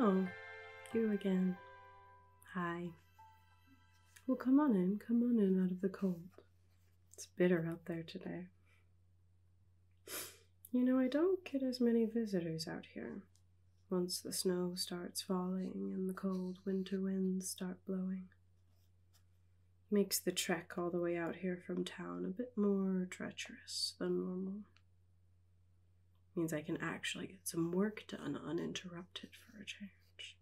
Oh, you again. Hi. Well, come on in, come on in out of the cold. It's bitter out there today. You know, I don't get as many visitors out here once the snow starts falling and the cold winter winds start blowing. Makes the trek all the way out here from town a bit more treacherous than normal. Means I can actually get some work done uninterrupted for a change.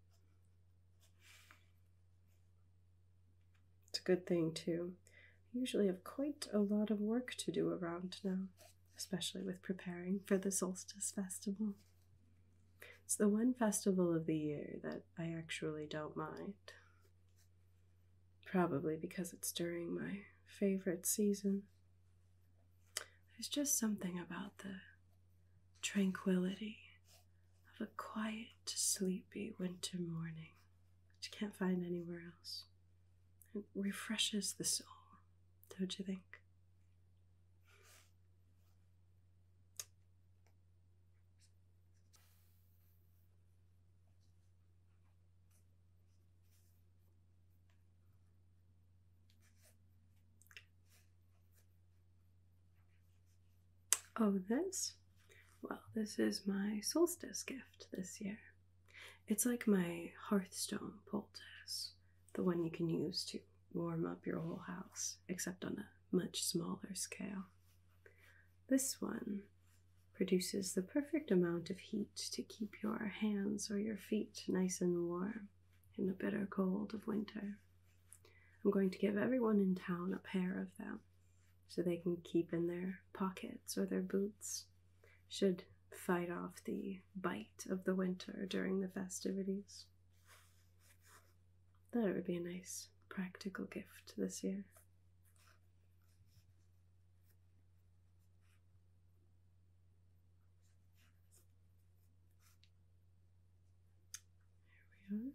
It's a good thing, too. I usually have quite a lot of work to do around now especially with preparing for the solstice festival. It's the one festival of the year that I actually don't mind. Probably because it's during my favorite season. There's just something about the tranquility of a quiet, sleepy winter morning that you can't find anywhere else. It refreshes the soul don't you think? Oh, this? Well, this is my solstice gift this year. It's like my Hearthstone poultice, the one you can use to warm up your whole house, except on a much smaller scale. This one produces the perfect amount of heat to keep your hands or your feet nice and warm in the bitter cold of winter. I'm going to give everyone in town a pair of them so they can keep in their pockets or their boots should fight off the bite of the winter during the festivities. That would be a nice practical gift this year. Here we are.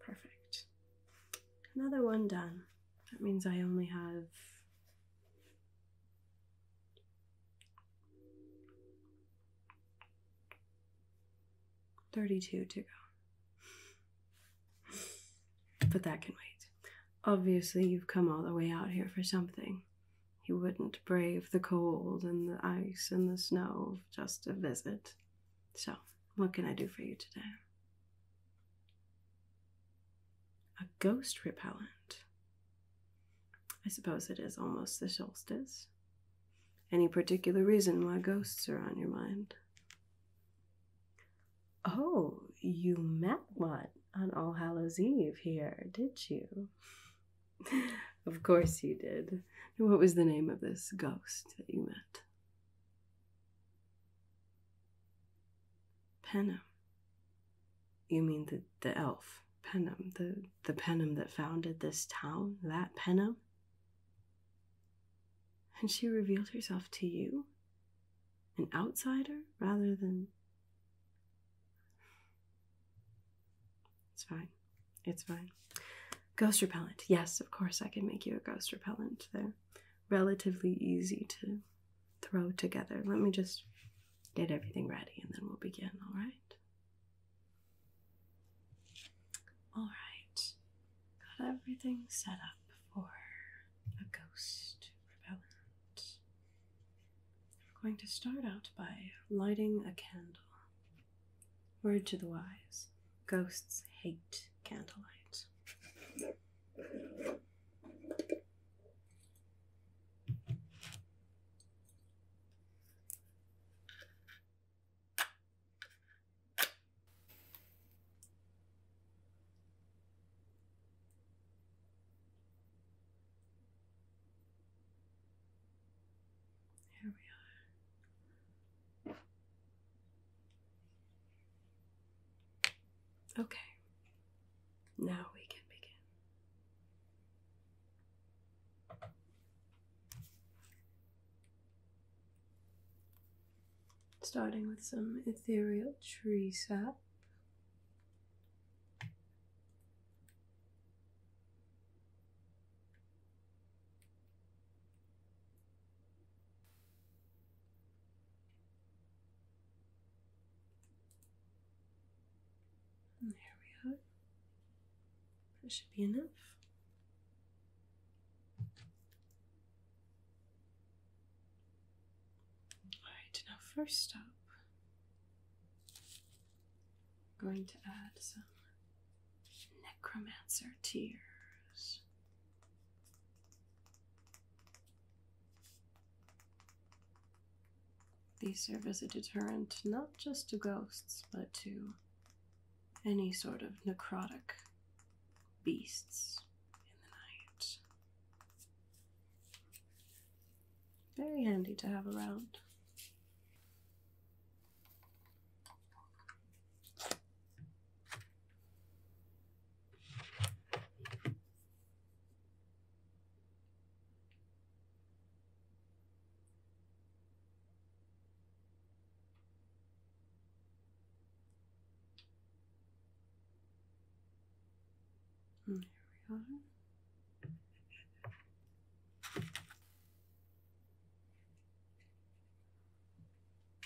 Perfect. Another one done. That means I only have thirty-two to go. But that can wait. Obviously, you've come all the way out here for something. You wouldn't brave the cold and the ice and the snow just to visit. So, what can I do for you today? A ghost repellent. I suppose it is almost the solstice. Any particular reason why ghosts are on your mind? Oh, you met one on All Hallows Eve here, did you? of course you did. what was the name of this ghost that you met? Penham. You mean the, the elf, Penham, the, the Penham that founded this town, that Penham? And she revealed herself to you? An outsider rather than it's fine. It's fine. Ghost repellent. Yes, of course, I can make you a ghost repellent. They're relatively easy to throw together. Let me just get everything ready and then we'll begin, all right? All right. Got everything set up for a ghost repellent. I'm going to start out by lighting a candle. Word to the wise ghosts hate candlelight. Here we are. Okay, now we can begin. Starting with some ethereal tree sap there we are. That should be enough. Alright, now first up, I'm going to add some necromancer tears. These serve as a deterrent not just to ghosts, but to any sort of necrotic beasts in the night. Very handy to have around. There we are.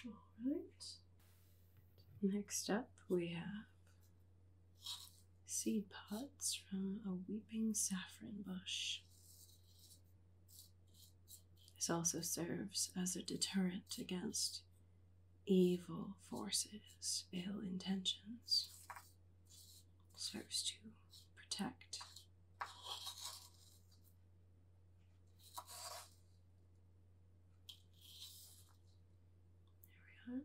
Alright. Next up, we have seed pods from a weeping saffron bush. This also serves as a deterrent against evil forces, ill intentions, serves to protect. There we are.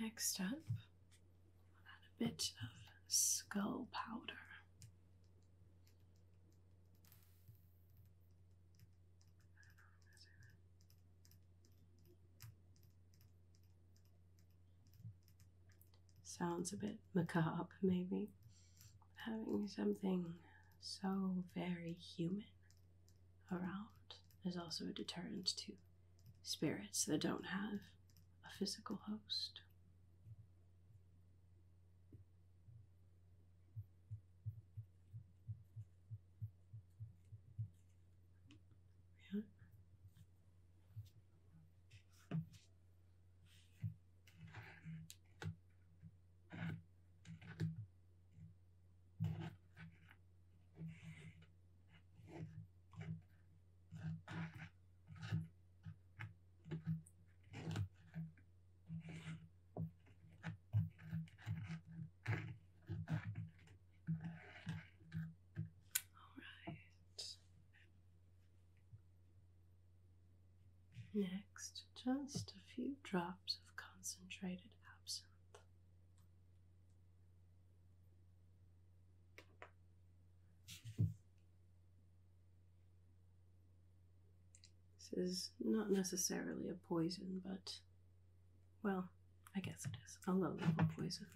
Next up, add a bit of skull powder. Sounds a bit macabre, maybe. Having something so very human around is also a deterrent too spirits that don't have a physical host. Yeah. Next, just a few drops of concentrated absinthe. This is not necessarily a poison, but well, I guess it is a low level poison.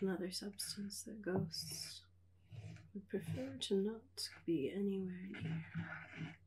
Another substance that ghosts would prefer to not be anywhere near.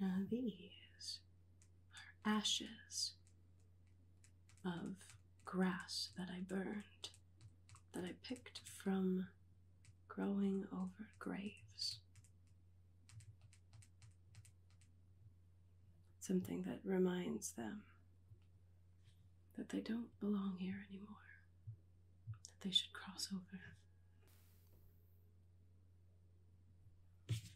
Now, these are ashes of grass that I burned, that I picked from growing over graves. Something that reminds them that they don't belong here anymore, that they should cross over.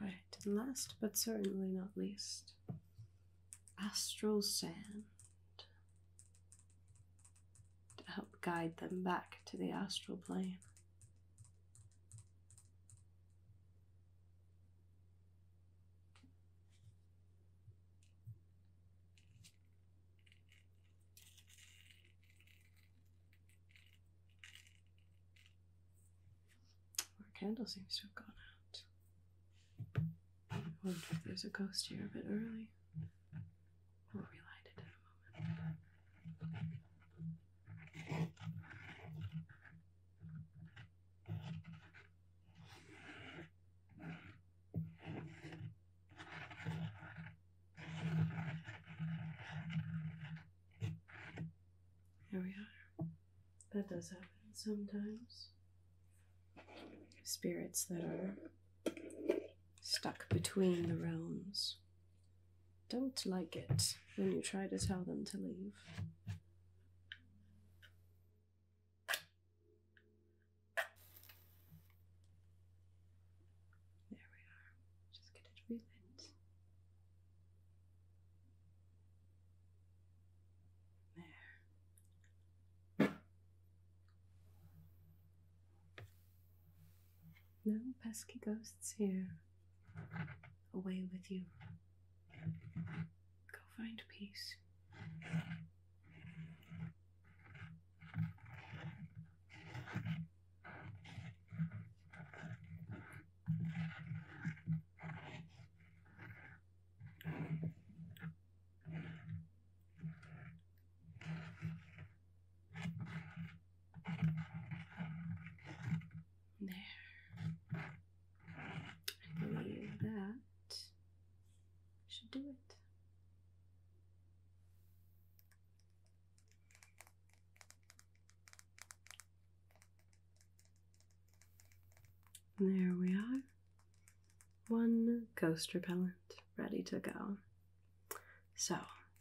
All right, and last but certainly not least, astral sand to help guide them back to the astral plane. Our candle seems to have gone out. wonder if there's a ghost here a bit early. We'll relight it in a moment. Here we are. That does happen sometimes. Spirits that are stuck between the realms don't like it when you try to tell them to leave. There we are. Just get it relit. There. No pesky ghosts here. Away with you. Go find peace. There. I believe that should do it. There we are. One ghost repellent ready to go. So,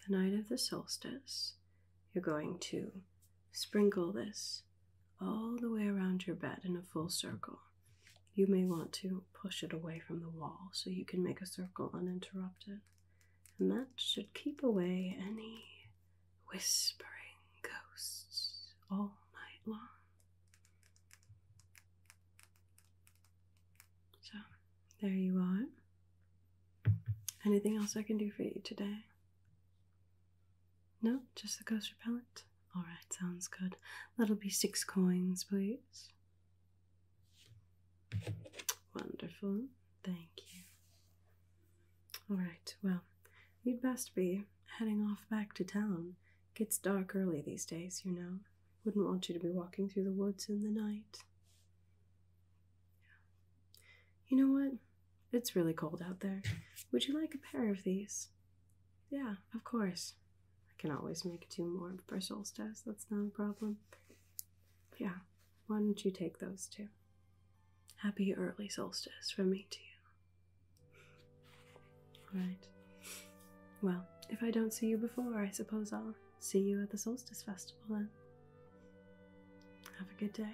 the night of the solstice, you're going to sprinkle this all the way around your bed in a full circle. You may want to push it away from the wall so you can make a circle uninterrupted. And that should keep away any whispering ghosts all night long. So, there you are. Anything else I can do for you today? No, just the ghost repellent? Alright, sounds good. That'll be six coins, please. Wonderful. Thank you. All right, well, you'd best be heading off back to town. Gets dark early these days, you know. Wouldn't want you to be walking through the woods in the night. You know what? It's really cold out there. Would you like a pair of these? Yeah, of course. I can always make two more for solstice. That's not a problem. Yeah, why don't you take those too? Happy early solstice from me to you. Alright. Well, if I don't see you before, I suppose I'll see you at the solstice festival then. Have a good day.